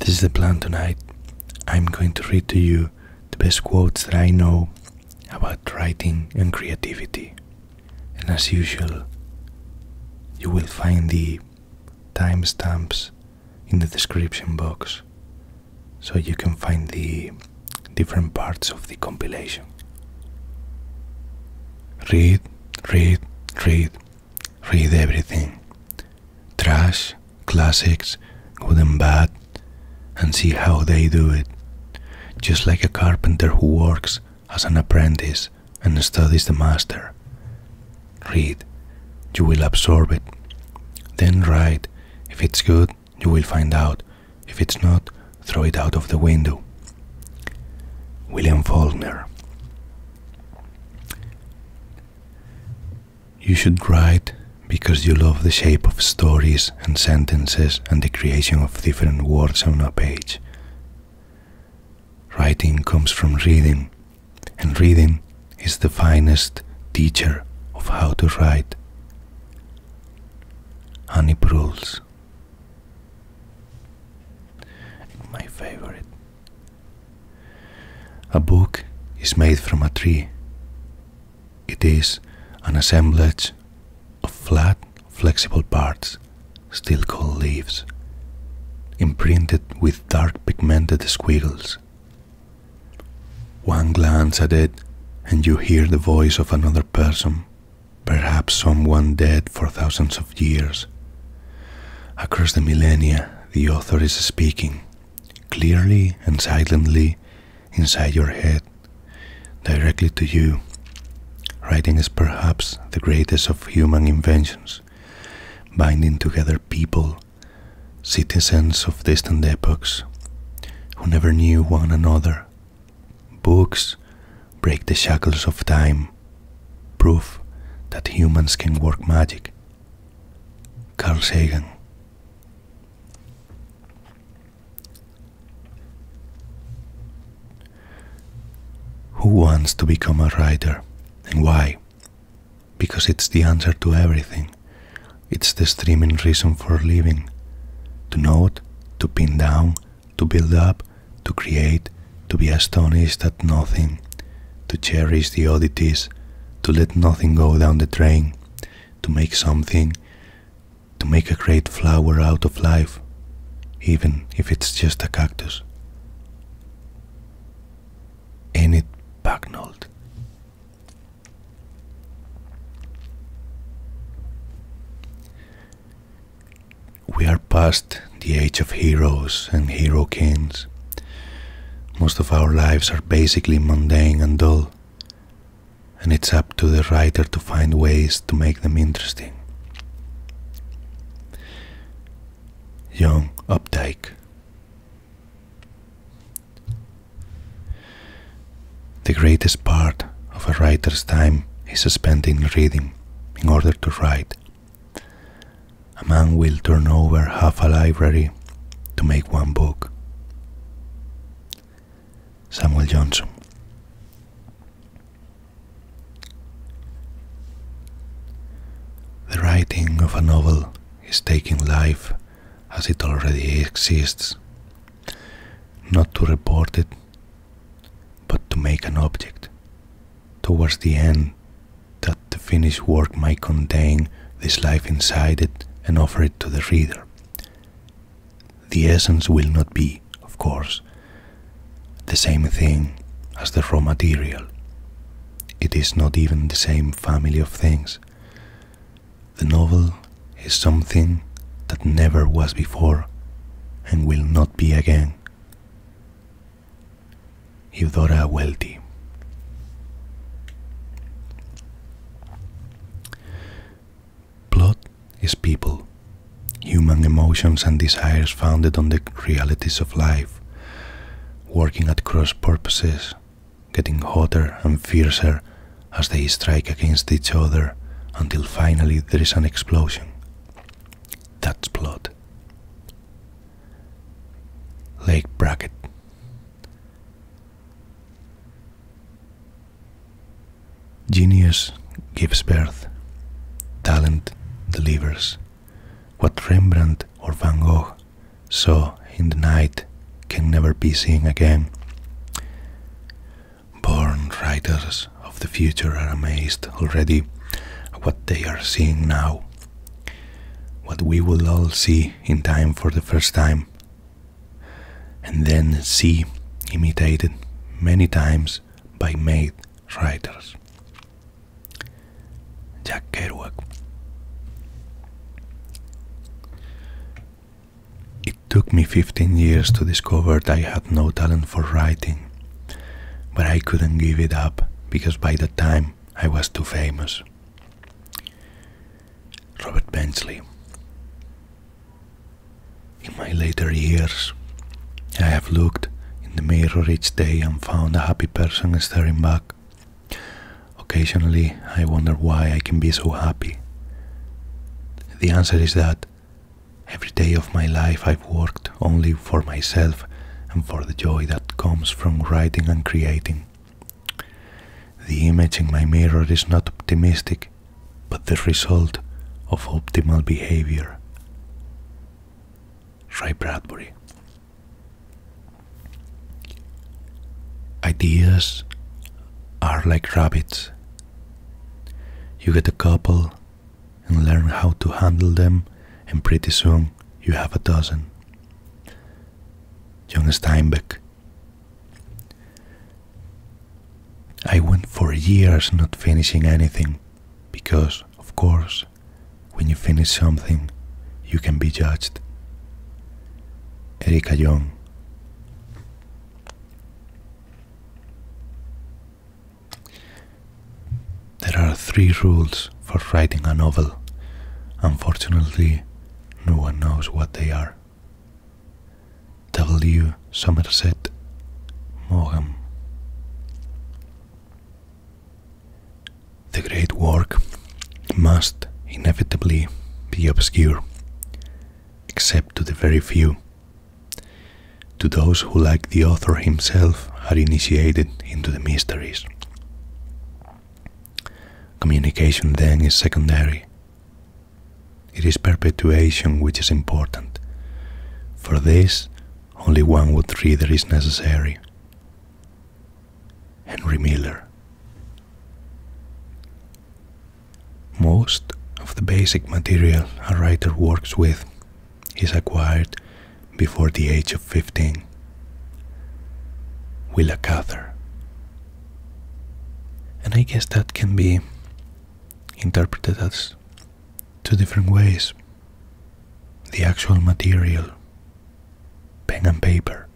This is the plan tonight. I'm going to read to you the best quotes that I know about writing and creativity. And as usual, you will find the timestamps in the description box so you can find the different parts of the compilation. Read, read, read, Read everything trash, classics, good and bad, and see how they do it. Just like a carpenter who works as an apprentice and studies the master. Read, you will absorb it. Then write. If it's good, you will find out. If it's not, throw it out of the window. William Faulkner. You should write because you love the shape of stories and sentences and the creation of different words on a page. Writing comes from reading, and reading is the finest teacher of how to write. Annie Proulx. My favorite. A book is made from a tree. It is an assemblage of flat, flexible parts, still called leaves, imprinted with dark pigmented squiggles. One glance at it, and you hear the voice of another person perhaps someone dead for thousands of years. Across the millennia, the author is speaking, clearly and silently, inside your head, directly to you. Writing is perhaps the greatest of human inventions, binding together people, citizens of distant epochs, who never knew one another Books break the shackles of time, proof that humans can work magic. Karl Sagan. Who wants to become a writer and why? Because it's the answer to everything. It's the streaming reason for living. To note, to pin down, to build up, to create, to be astonished at nothing, to cherish the oddities, to let nothing go down the drain, to make something, to make a great flower out of life, even if it's just a cactus. Enid Bagnold. We are past the age of heroes and hero kings. Most of our lives are basically mundane and dull, and it's up to the writer to find ways to make them interesting. Young Updike. The greatest part of a writer's time is spent in reading in order to write. A man will turn over half a library to make one book. Samuel Johnson. The writing of a novel is taking life as it already exists not to report it, but to make an object. Towards the end, that the finished work might contain this life inside it and offer it to the reader. The essence will not be, of course, the same thing as the raw material. It is not even the same family of things. The novel is something that never was before and will not be again. Eudora Welty. Plot is people, human emotions and desires founded on the realities of life, working at cross purposes getting hotter and fiercer as they strike against each other until finally there is an explosion. That's blood. Lake Brackett. Genius gives birth, talent delivers. What Rembrandt or Van Gogh so in the night can never be seen again. Born writers of the future are amazed already at what they are seeing now, what we will all see in time for the first time, and then see imitated many times by made writers. Jack Kerouac. It took me 15 years to discover that I had no talent for writing, but I couldn't give it up because by that time I was too famous. Robert Bensley. In my later years, I have looked in the mirror each day and found a happy person staring back. Occasionally, I wonder why I can be so happy. The answer is that every day of my life I've worked only for myself and for the joy that comes from writing and creating. The image in my mirror is not optimistic, but the result of optimal behavior. Ray Bradbury. Ideas are like rabbits. You get a couple and learn how to handle them, and pretty soon you have a dozen. John Steinbeck. I went for years not finishing anything because, of course, when you finish something, you can be judged. Erika Young. There are three rules for writing a novel. Unfortunately, no one knows what they are. W. Somerset Maugham the great work must inevitably be obscure, except to the very few. To those who, like the author himself, are initiated into the mysteries. Communication then is secondary. It is perpetuation which is important. For this, only one would reader is necessary. Henry Miller. Most of the basic material a writer works with is acquired before the age of 15. Willa Cather. And I guess that can be interpreted as two different ways. The actual material pen and paper,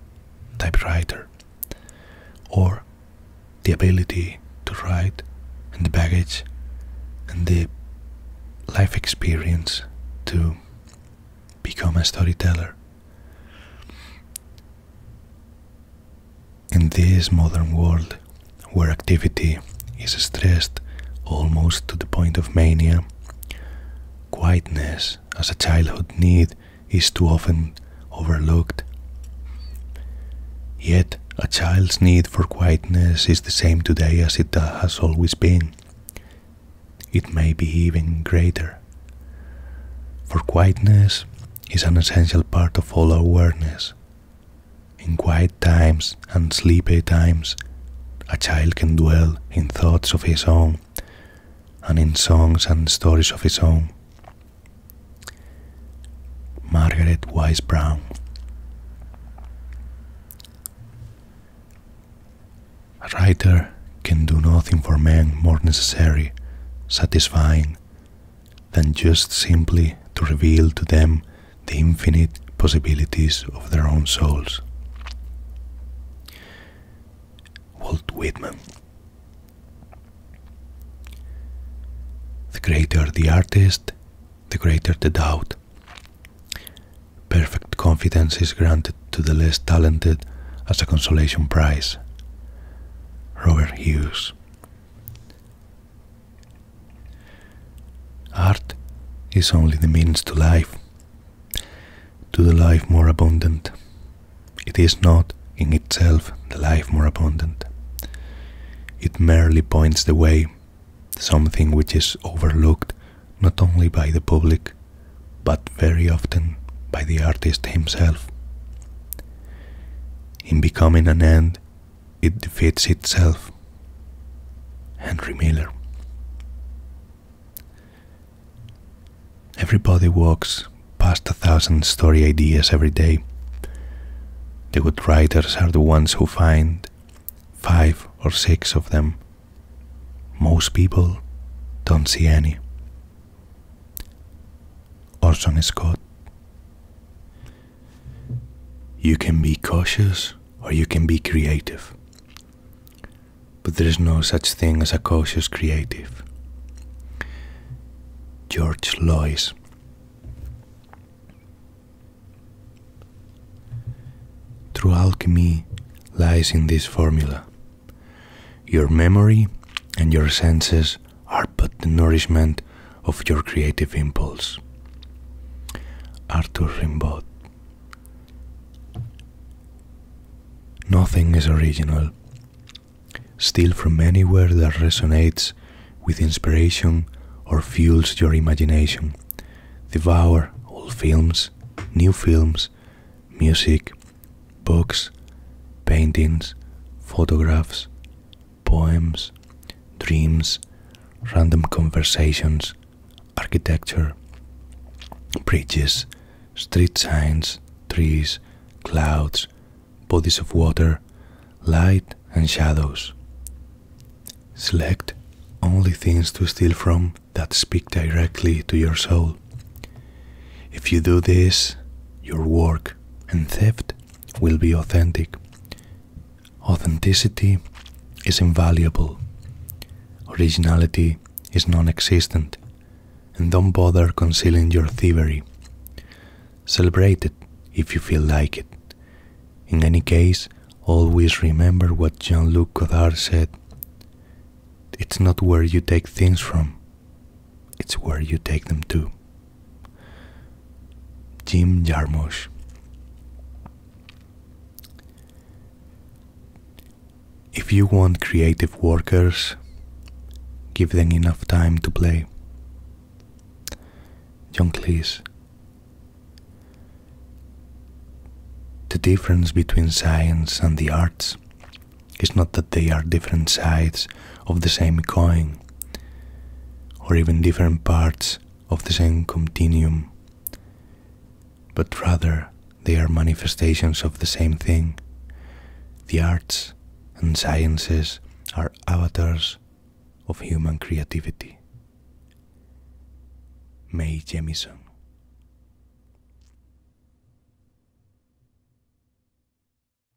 typewriter, or the ability to write and the baggage and the life experience to become a storyteller. In this modern world where activity is stressed almost to the point of mania. Quietness as a childhood need is too often overlooked. Yet, a child's need for quietness is the same today as it has always been. It may be even greater. For quietness is an essential part of all awareness, in quiet times and sleepy times, a child can dwell in thoughts of his own and in songs and stories of his own. Margaret Wise Brown. A writer can do nothing for men more necessary, satisfying, than just simply to reveal to them the infinite possibilities of their own souls. Walt Whitman. The greater the artist, the greater the doubt. Perfect confidence is granted to the less talented as a consolation prize. Robert Hughes. Art is only the means to life, to the life more abundant. It is not in itself the life more abundant. It merely points the way, something which is overlooked not only by the public, but very often by the artist himself. In becoming an end, it defeats itself. Henry Miller. Everybody walks past a thousand story ideas every day. The good writers are the ones who find five or six of them. Most people don't see any. Orson Scott. You can be cautious or you can be creative. But there is no such thing as a cautious creative. George Lois. True alchemy lies in this formula. Your memory and your senses are but the nourishment of your creative impulse. Arthur Rimbaud Nothing is original. Steal from anywhere that resonates with inspiration or fuels your imagination. Devour old films, new films, music, books, paintings, photographs, poems, dreams, random conversations, architecture, bridges, street signs, trees, clouds, bodies of water, light and shadows. Select only things to steal from that speak directly to your soul. If you do this, your work and theft will be authentic. Authenticity is invaluable. Originality is non existent. And don't bother concealing your thievery. Celebrate it if you feel like it. In any case, always remember what Jean Luc Godard said it's not where you take things from, it's where you take them to. Jim Jarmusch. If you want creative workers, give them enough time to play. John Cleese. The difference between science and the arts it's not that they are different sides of the same coin, or even different parts of the same continuum, but rather they are manifestations of the same thing. The arts and sciences are avatars of human creativity. Mae Jemison.